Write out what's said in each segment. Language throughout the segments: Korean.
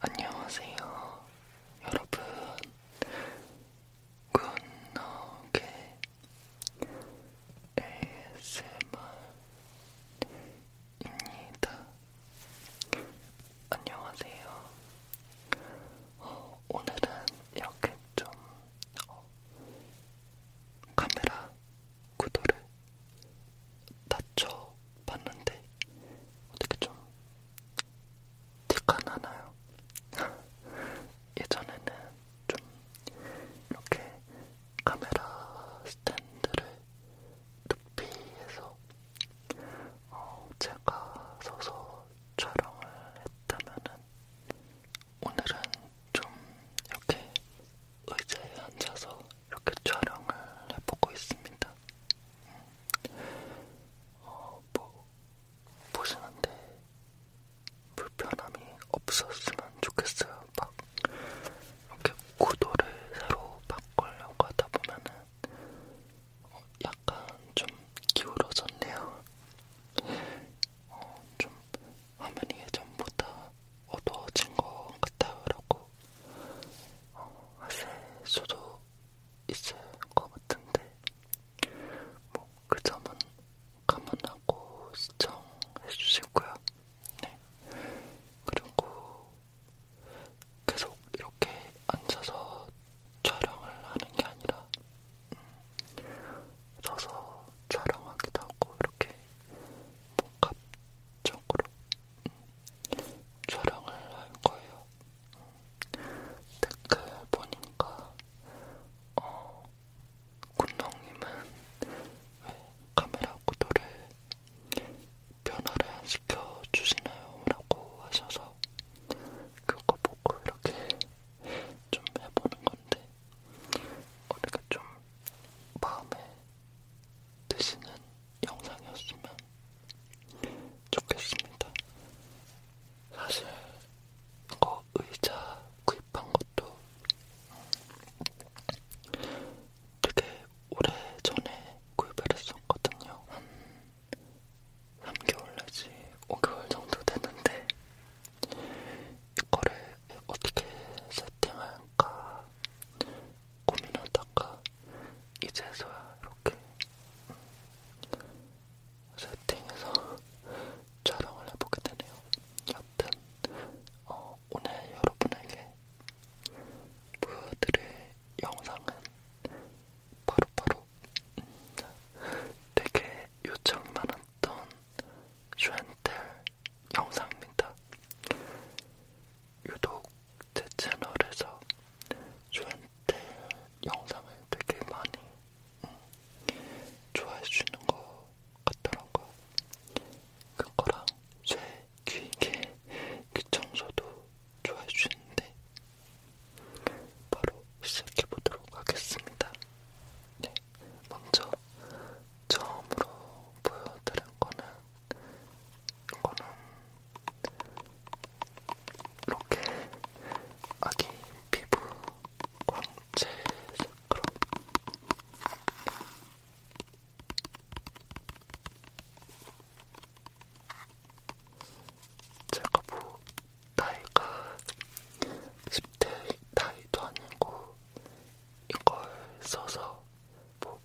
안녕하세요, 여러분. 굿노게 ASMR입니다. 안녕하세요. 어, 오늘은 이렇게 좀 어, 카메라 구도를 낮춰 봤는데 어떻게 좀 티가 나나요? 예전에는 좀 이렇게 카메라 스탠드를 높이해서 어, 제가 서서 촬영을 했다면은 오늘은 좀 이렇게 의자에 앉아서 이렇게 촬영을 해보고 있습니다. 음. 어, 뭐, 보시는데 불편함이 없었으면 좋겠어요. 막, 이렇게 구도를 새로 바꾸려고 하다 보면은 어, 약간 좀 기울어졌네요. 어, 좀 화면이 예전보다 어두워진 것 같아요. 라고 어, 셀 수도 있을 것 같은데 뭐 그 점은 감안하고 시청해주시고요. 네. 그리고 계속 이렇게 앉아서 촬영을 하는 게 아니라 음, 서서 촬영하기도 하고 이렇게 복합적으로 뭐, 촬영을 할 거예요. 댓글 보니까 어, 군동님은 왜 카메라 구도를 변화를 안 시켜주시나요? 라고 하셔서 그거 보고 이렇게 좀 해보는 건데 어, 이렇게 좀 마음에 드시는 영상이었으면 좋겠습니다. 사실 이거 의자 구입한 것도 되게 오래 전에 구입을 했었거든요. 한 3개월 내지 5개월 정도 됐는데 이거를 어떻게 세팅할까 고민하다가 이제서야 이렇게 세팅해서 촬영을 해보게 되네요. 여튼 어, 오늘 여러분에게 보여드릴 영상은 바로바로 바로 음, 되게 요청 많았던 슈엔텔 영상입니다. 유독 제 채널에서 저한테 영상을 되게 많이 음, 좋아해주시는 것 같더라고요. 그거랑 제 귀에 귀청소도 좋아해주는데 바로 시작해보도록 하겠습니다. 네, 먼저 처음으로 보여드린 거는 이거는 이렇게 아기 피부 광채 스크럽 제가 뭐 나이가 10대 나이도 아니고 이걸 써서 뭐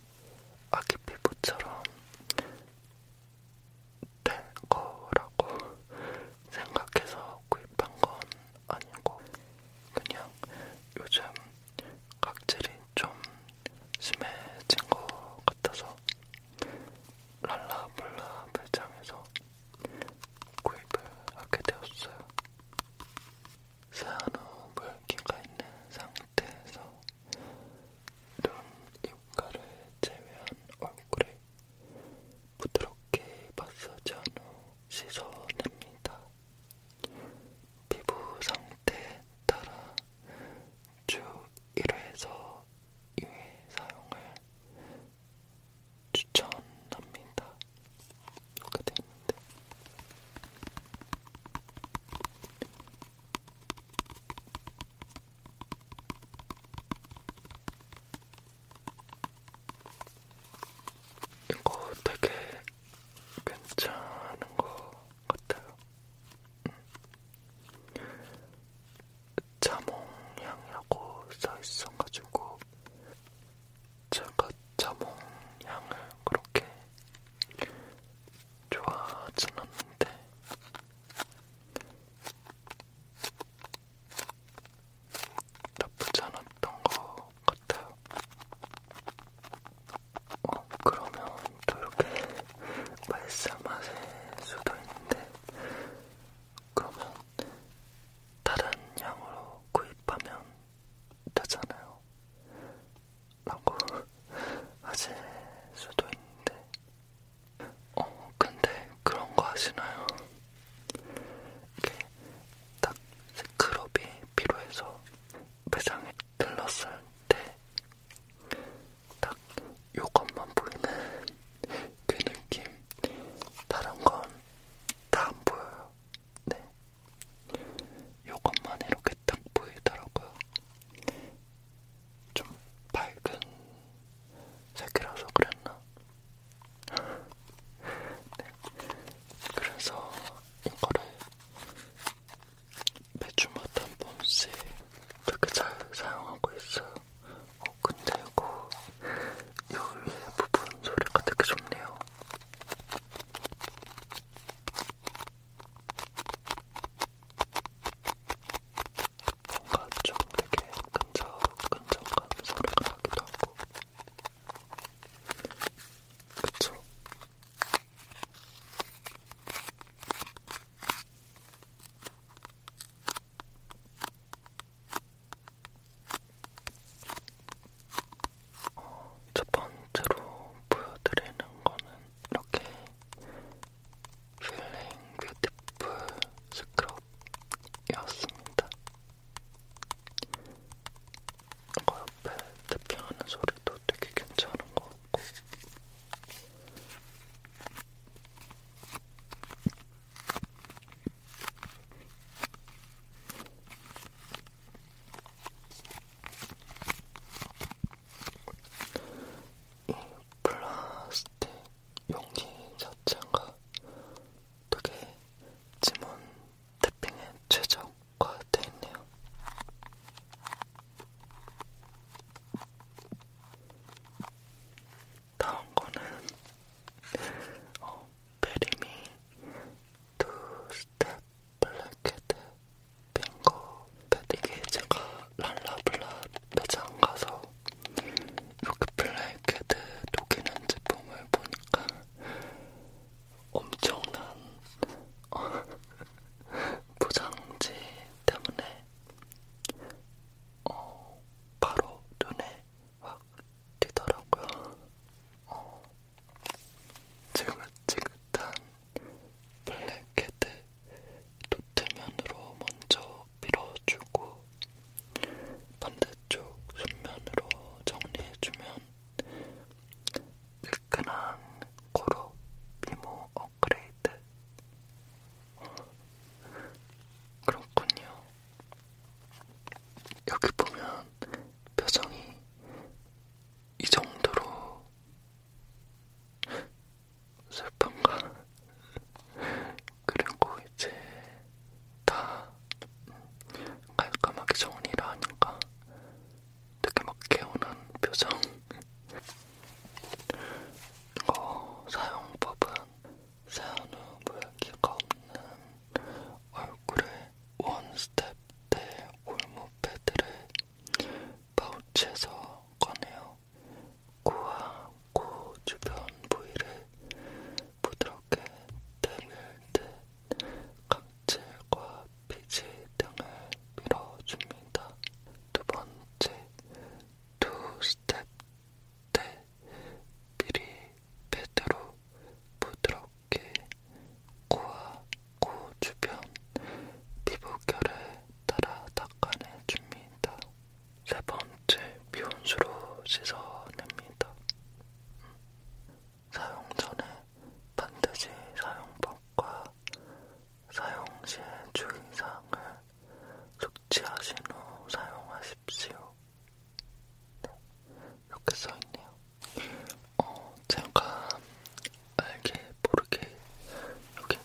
아기 피부처럼 될 거라고 생각해서 구입한 건 아니고 그냥 요즘 각질이 좀 심해진 것 같아서 랄라블라 매장에서 구입을 하게 되었어요. 세안후 물기가 있는 상태 상태에서 눈, 입가를 제외한 얼굴에 부드럽게 마사지한 후 씻어냅니다. 피부 상태에 따라 주 1회에서 2회 사용을 추천합니다. 이렇게 되는데 이거 되게 괜찮은 것 같아요. 음. 자몽향이라고 써있어가지고 제가 자몽향을 그렇게 좋아하진 않는데 나쁘지 않았던 것 같아요. 어, 그러면 또 이렇게 말씀하실 수도 있는데 그러면 다른 양으로 구입하면 되잖아요. 라고 하실 수도 있는데 어 근데 그런 거 아시나요? 이게 딱 스크럽이 필요해서 매장에 들렀을 때 딱 요것만 보이는 그 느낌 다른 건 다 안 보여요 네 요것만 이렇게 딱 보이더라고요 좀 밝은 색이라서 그랬나? 네. 그래서 이거를 매주마다 한 번씩 되게 잘 사용하고 있어요. 어, 근데 이거 이 위에 부분 소리가 되게 좋네요. 뭔가 좀 되게 끈적끈적한 소리가 나기도 하고 그쵸? 어, 첫 번째로 보여드리는 거는 이렇게 플레인 뷰티풀 스크럽이었습니다. 이거 그 옆에 대피하는 소리도 되게 괜찮은 것 같고 이 플라스틱 용기 자체가 되게 지문 태핑에 최적화 되어 있네요. 다음 거는 어, 베리미 투스텝 블랙헤드 핑거 패드 이게 제가 랄라블라 매장 가서 이렇게 블랙헤드 녹이는 제품을 보니까 엄청난 어, 포장지 때문에 어, 바로 눈에 확 띄더라고요. 어, 지긋지긋한 블랙헤드 노트면으로 먼저 밀어주고 반대쪽 순면으로 정리해주면 뜨끈한 코로 미모 업그레이드 그렇군요. 여기 보면 표정이 이 정도로 슬픔과 그리고 이제 다 깔끔하게 정리를 하니까 되게 막 개운한 표정 이거 사용법은 세안 후 물기가 없는 얼굴에 원스텝 대 골무 패드를 파우치에서 꺼내요 코와 코 주변 부위를 부드럽게 때밀 듯 각질과 피지 등을 밀어줍니다. 두 번째, 두 스텝 때 미리 패드로 부드럽게 코와 코 주변 피부결을 따라 닦아내줍니다. 세 번째, 미온수로 씻어냅니다. 사용 전에 반드시 사용법과 사용 시의 주의사항을 숙지하신 후 사용하십시오. 네, 이렇게 써있네요. 어, 제가 알게 모르게 이렇게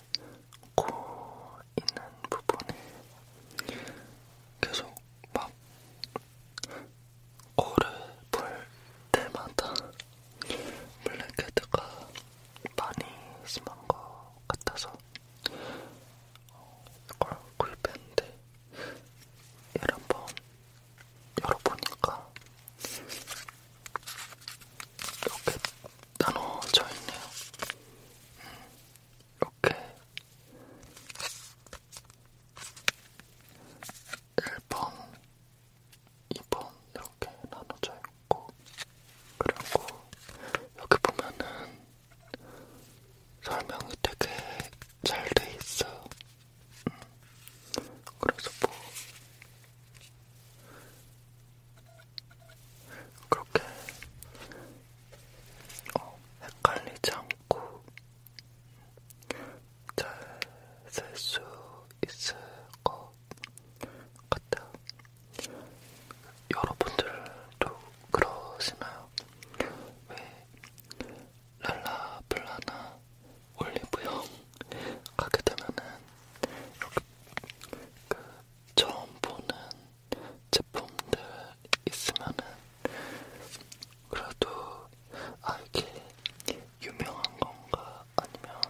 코 있는 부분에 계속 막 코를 풀 때마다 블랙헤드가 많이 심한 것 같아서 어, 이걸 구입했는데 얘를 한번 열어보니까 이렇게 나눠져 있네요. 음, 이렇게 1번, 2번 이렇게 나눠져 있고 그리고 여기 보면은 설명이 되게 잘 돼 있어요. 음. 그래서 뭐 그렇게 어, 헷갈리지 않고 잘셀수 있을 것 같아요. 여러분들도 그러시나요? 왜 랄라블라나 올리브영 가게 되면은 이렇게 그 처음 보는 제품들 있으면은 그래도 아 이게 유명한 건가 아니면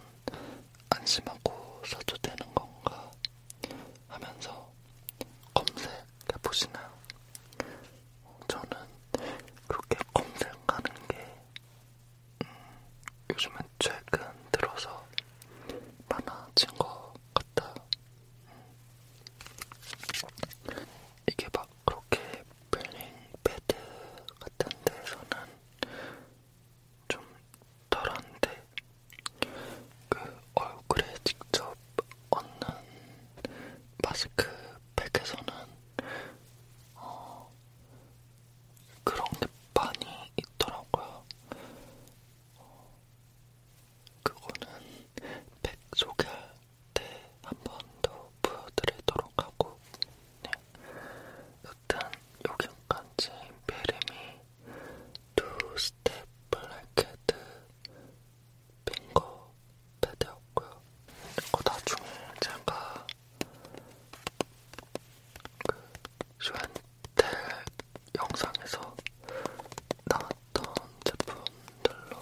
안심하고 사도 되는 건가 하면서 검색해 보시나요? 저는 그렇게 검색하는 게 요즘은 최근 들어서 많아진 것 같아요. 이게 막 그렇게 블링 패드 같은 데서는 좀 덜한데 그 얼굴에 직접 얹는 마스크팩에서는 어 그런 게 많이 있더라고요. 그거는 백 소개할 때한 번 더 보여드리도록 하고, 네. 여튼 여기까지 베리미 투스텝 블랙헤드 핑거 패드였고요. 이거 나중에 제가 그 쇼앤 때 영상에서 나왔던 제품들로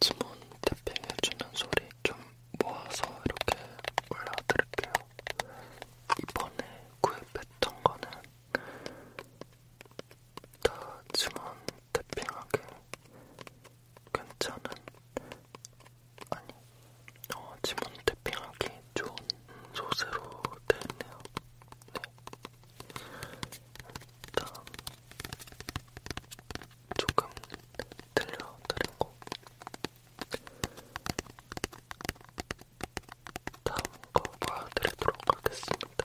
지문 탭핑해주는 소리 좀 모아서 이렇게 올려드릴게요. 이번에 구입했던 거는 다 지문 탭핑하게 괜찮은 아니 어, 지문 태핑하기 좋은 소재로 되어있네요 네. 일단 조금 들려드리고 다음 거 보여드리도록 하겠습니다.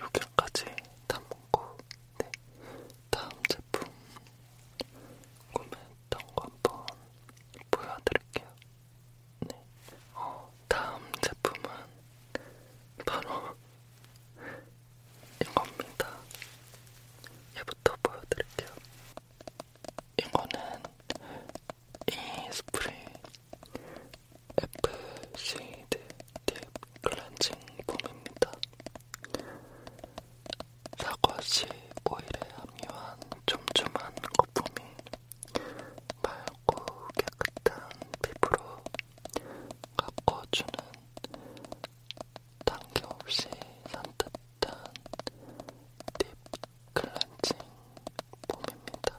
여기까지 담고 네. 다음 제품 구매했던 거 한번 보여드릴게요. 네. 어, 다음 제품은 바로 이겁니다. 얘부터 보여드릴게요. 이거는 이 스프레이 FCD 딥 클렌징 폼입니다. 사과씨 오일에 함유한 촘촘한 거품이 맑고 깨끗한 피부로 가꿔주는 단계 없이 산뜻한 딥 클렌징 폼입니다.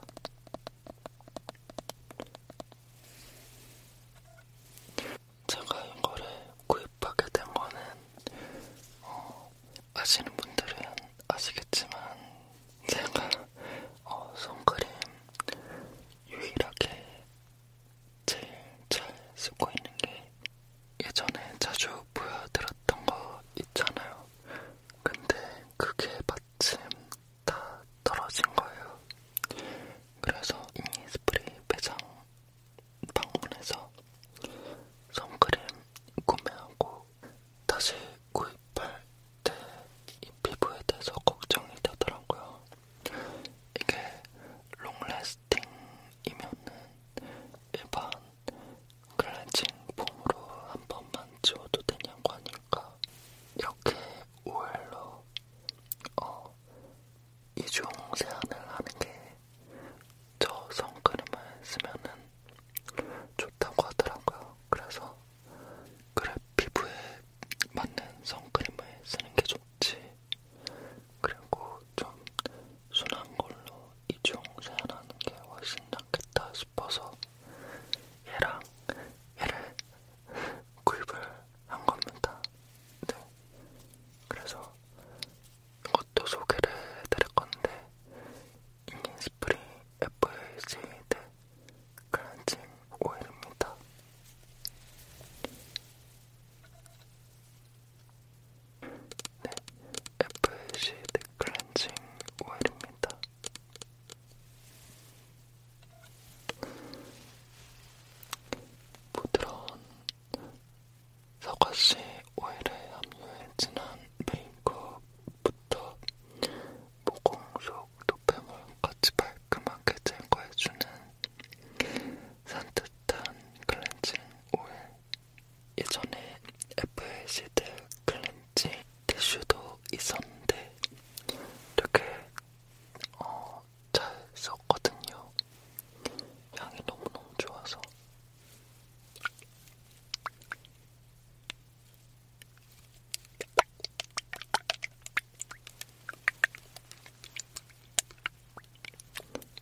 제가 이거를 구입하게 된 거는 어, 아시는 분들은 아시겠지만 제가 어, 선크림 유일하게 제일 잘 쓰고 있는 게 예전에 자주 보여드렸던 거 있잖아요. 근데 그게 마침 다 떨어진 거예요. 그래서 이 스프레이 매장 방문해서 선크림 구매하고 다시 구입할 때이 피부에 대해서 걱정이 되더라고요. 이게 롱래스팅이면은 일반 클렌징 폼으로 한 번만 지워도 되냐고 하니까 이렇게 오일로 어, 이중 세안을 하는 게 저 선크림을 쓰면은 좋다고 하더라고요. 그래서 그래 피부에 맞는 선크림을 쓰는 게 좋지. 그리고 좀 순한 걸로 이중 세안하는 게 훨씬 낫겠다 싶어서 얘랑 얘를 구입을 한 겁니다. 네. 그래서 이것도 소개를 해드릴 건데 인스프리 FACD 클렌징 오일입니다. 네, FACD 클렌징 오일입니다. 부드러운 사과씨 오일에 함유해 진한 메이크업부터 모공 속 노폐물까지 깔끔하게 제거해주는 산뜻한 클렌징 오일 예전에 FACD 클렌징 티슈도 있었는데 되게 어, 잘 썼거든요. 향이 너무너무 좋아서.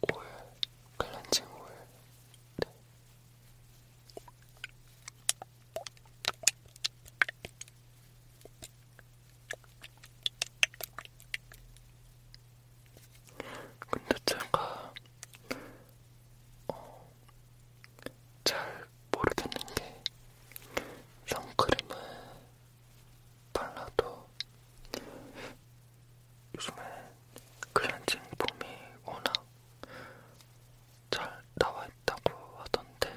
오일, 클렌징 오일. 네. 근데 제가 어, 잘 모르겠는 게 선크림을 발라도 요즘에 클렌징 폼이 워낙 잘 나와있다고 하던데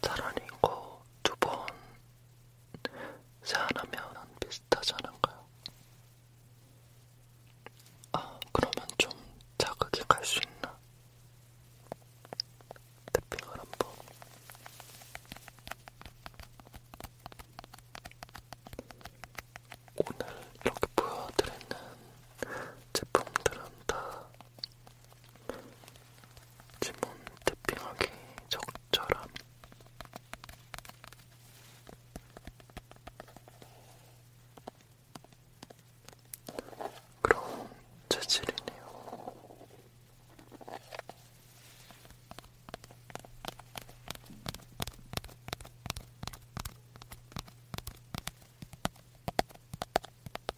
차라리 이거 두번 세안하면 비슷하지 않을까요? 아, 그러면 좀 자극이 갈 수 있나? 탭핑을 한번 오늘 이렇게 보여드리는 제품들은 다 지문 태핑하기 적절한 그런 재질이네요.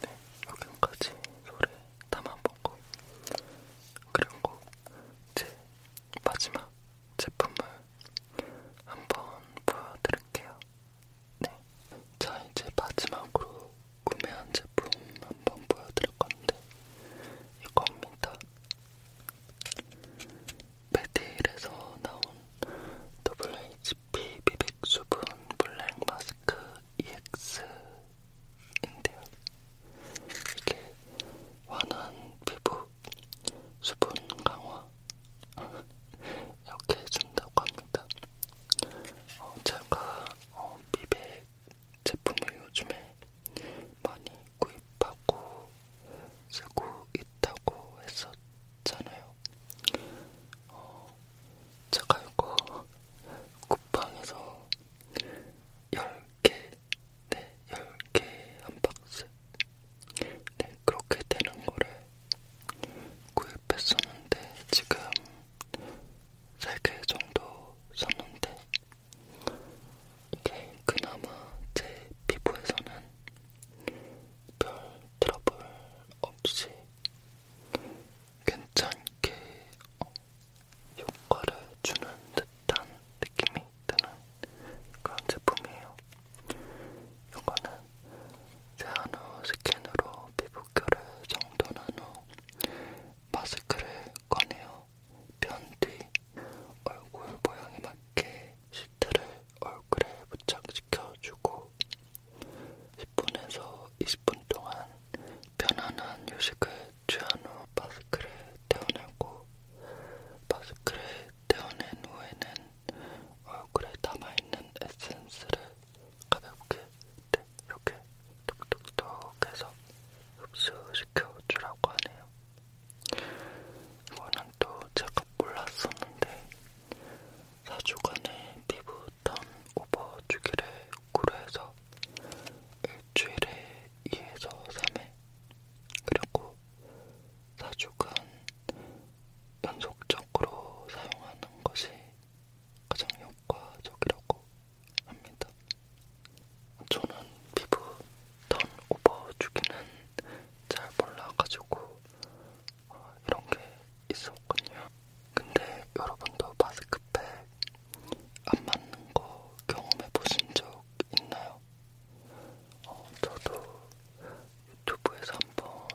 네, 여기까지 소리 담아보고 그리고 제 마지막 제품을 한번 보여드릴게요. 네, 자 이제 마지막으로 구매한 제품 한번 보여드릴 건데 이겁니다. 메디힐에서 나온 더블 h 아시다시피 비백수분 블랙 마스크 EX인데요. 이게 완한 피부 수분 강화 이렇게 해준다고 합니다. 어, 제가 어, 비백 제품을 요즘에 많이 구입하고 쓰고 있다고 했었잖아요. 어, 제가 이거 쿠팡에서 10개, 네, 10개 한 박스. 네, 그렇게 되는 거를 구입했었는데, 지금 3개 정도 샀는데, 이게 그나마 제 피부에서는 별 트러블 없이 괜찮게 어, 효과를 주는 듯한 느낌이 드는 그런 제품이에요. 이거는 세안 후 스킨으로 피부결을 정돈한 후 마스크를 꺼내어 변뒤 얼굴 모양에 맞게 시트를 얼굴에 부착시킵니다. 식혀주고 10분에서 20분 동안 편안한 휴식을 취한 후 마스크를 떼어내고 마스크를 떼어낸 후에는 얼굴에 남아있는 에센스를 가볍게 이렇게 톡톡톡 해서 흡수시켜주라고 하네요. 이거는 또 제가 몰랐었는데 4주간의 피부 턴 오버 주기를 고려해서 일주일에 2에서 3회 그리고 4주간 연속적으로 사용하는 것이 가장 효과적이라고 합니다. 저는 피부 턴오버 주기는 잘 몰라가지고 어, 이런 게 있었군요. 근데 여러분도 마스크팩 안 맞는 거 경험해 보신 적 있나요? 어, 저도 유튜브에서 한번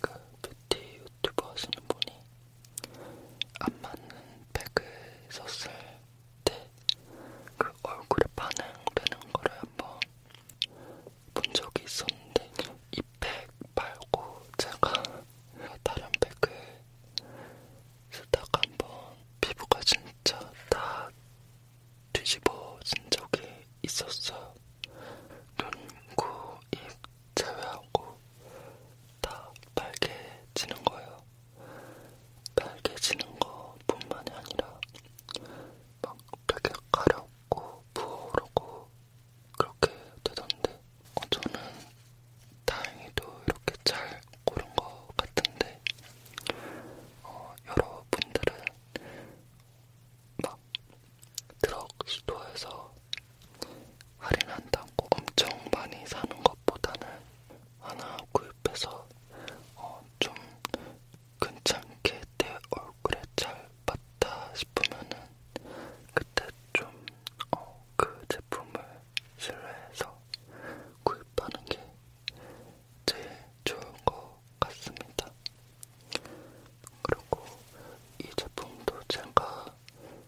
그 뷰티 유튜브 하시는 분이 안 맞는 팩을 썼을 때 그 얼굴에 반응되는 거를 한번 본 적이 있었는데 이 팩 말고 제가 다른 팩을 쓰다가 한번 피부가 진짜 다 뒤집어진 적이 있었어요. 눈, 코, 입 제외하고 다 빨개지는 거예요. 빨개지는 거 뿐만이 아니라 막 되게 가렵고 부어오르고 그렇게 되던데 어, 저는 다행히도 이렇게 잘 고른 것 같은데 어, 여러분들은 막 드럭 스토어에서 할인한다고 엄청 많이 사는 것보다는 하나 구입해서 어, 좀 괜찮게 내 얼굴에 잘 맞다 싶으면은 그때 좀어그 제품을 신뢰해서 구입하는 게 제일 좋은 것 같습니다. 그리고 이 제품도 제가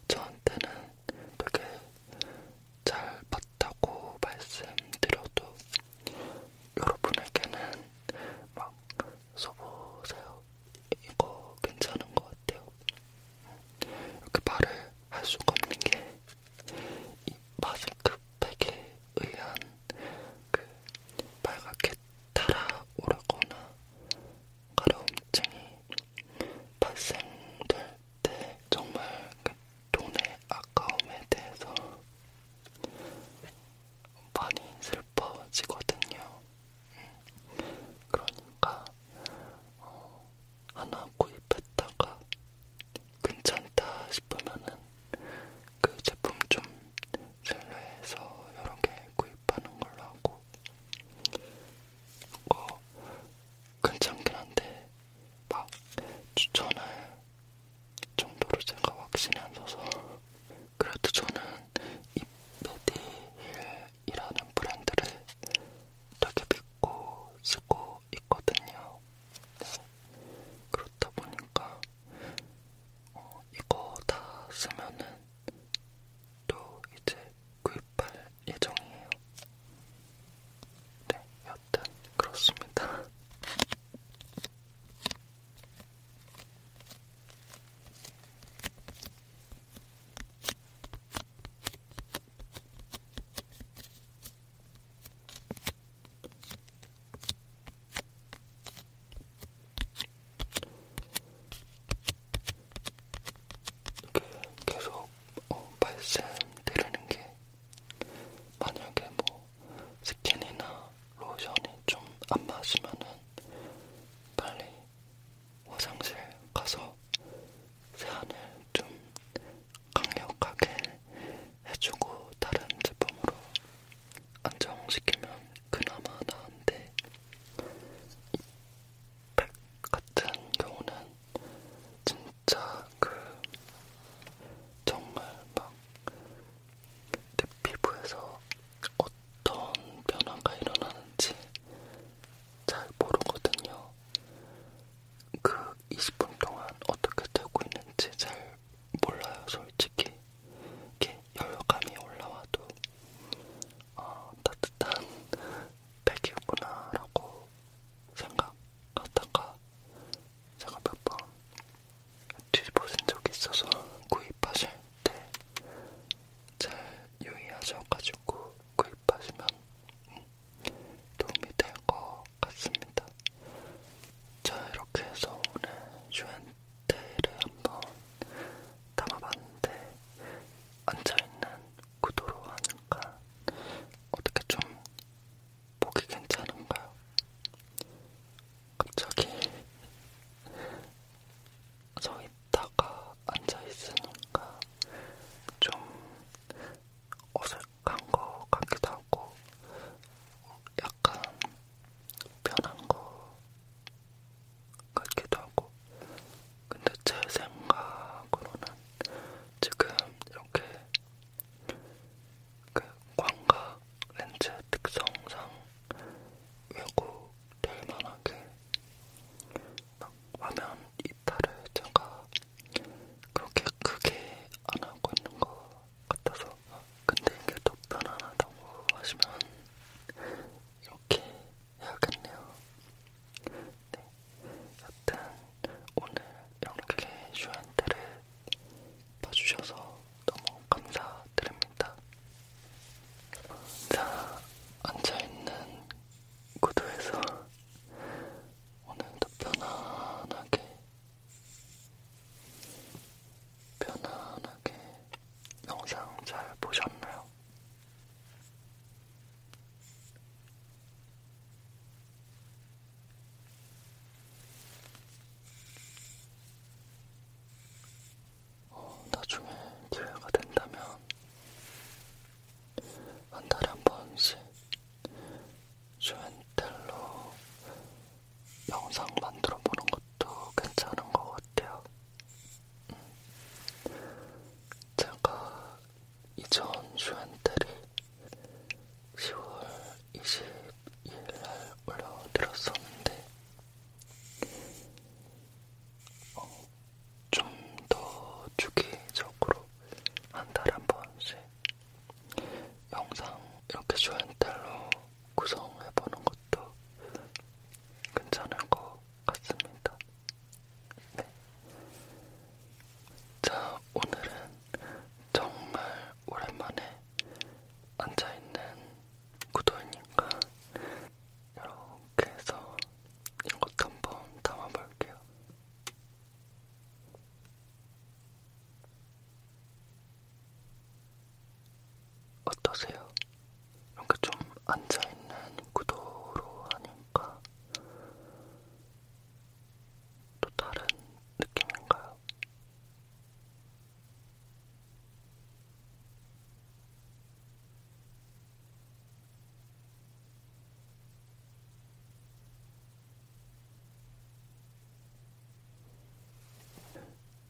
저한테는 되게 잘 봤다고 말씀드려도 여러분에게는 막 써보세요. 이거 괜찮은 것 같아요. 이렇게 말을 할 수가 없는 게이 마스크팩에 의한 그 빨갛게 달아오르거나 가려움증이 발생될 때 정말 그 돈의 아까움에 대해서 많이 슬퍼지거든요. 그러니까 어, 하나 구입했다가 괜찮다 싶으면은 그 제품 좀 신뢰해서 여러 개 구입하는 걸로 하고 그거 어, 괜찮긴 한데 막 추천할 정도로 제가 확신이 안 서서 그래도 저는 이 메디힐이라는 브랜드를 되게 믿고 쓰고 있거든요. 네. 그렇다 보니까 어, 이거 다 쓰면은 또 이제 구입할 예정이에요. 네, 여튼 그렇습니다. 이렇게 계속 어, 발생 되려는 게 만약에 뭐 스킨이나 로션이 좀 안 맞으면은 빨리 화장실 가서 세안을 좀 강력하게 해주고 다른 제품으로 안정시키면 그나마 나은데 팩 같은 경우는 진짜 그 정말 막 피부에서 어떤 변화가 일어나는지 잘 모르거든요. 그 20분 동안 어떻게 되고 있는지 잘 몰라요, 솔직히. 이렇게 열감이 올라와도 어, 따뜻한 백이구나라고 생각하다가 제가 몇 번 뒤집어진 적이 있어서 구입하실 때잘 유의하셔가지고 구입하시면 음, 도움이 될 것 같습니다. 자, 이렇게 해서 오늘 슈앤테이를 한번 담아봤는데 앉아있는 구도로 하니까 어떻게 좀 보기 괜찮은가요? 갑자기 성이 걷다가 앉아있으니까 좀 어색한 것 같기도 하고 약간 편한 것 같기도 하고 근데 제 생각으로는 지금 이렇게 그 광각 렌즈 특성상 외고 될 만하게 막 화면 이탈을 제가 그렇게 크게 안 하고 있는 것 같아서 근데 이게 더 편안하다고 하시면 이렇게 해야겠네요. 네, 여튼 오늘 이렇게 슈한테를 봐주셔서 너무 감사드립니다. 자, 앉아있는 구도에서 오늘도 편안하게, 편안하게 영상 잘 보셨나요? 어, 나중에 기회가 된다면 한 달에 한 번씩 쇼앤텔로 영상 만들어 보는 것도 괜찮은 것 같아요. 음. 제가 이전 쇼앤텔이 10월 22일 날 올려드렸었는데 어, 좀더 주기적으로 한 달에 한 번씩 영상 이렇게 쇼앤텔로 구성해보는 것도 괜찮을 것 같습니다. 네. 자, 오늘은 정말 오랜만에 앉아있는 구도인님과 이렇게 해서 이것도 한번 담아볼게요. 어떠세요? 이렇게 좀 앉아있는 구도로 하니까 또 다른 느낌인가요?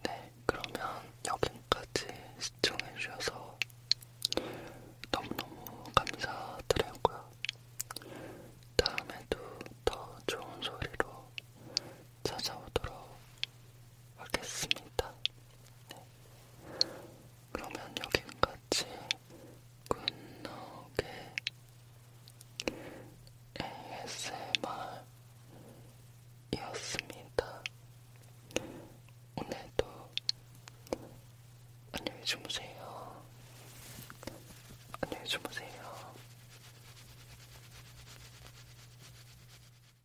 네, 그러면 여기까지 시청해주셔서 너무너무 감사드리고요. 다음에도 더 좋은 소리로 찾아오도록 하겠습니다. 네. 그러면 여기까지 굿노게 ASMR이었습니다. 오늘도 안녕히 주무세요. 안녕히 주무세요.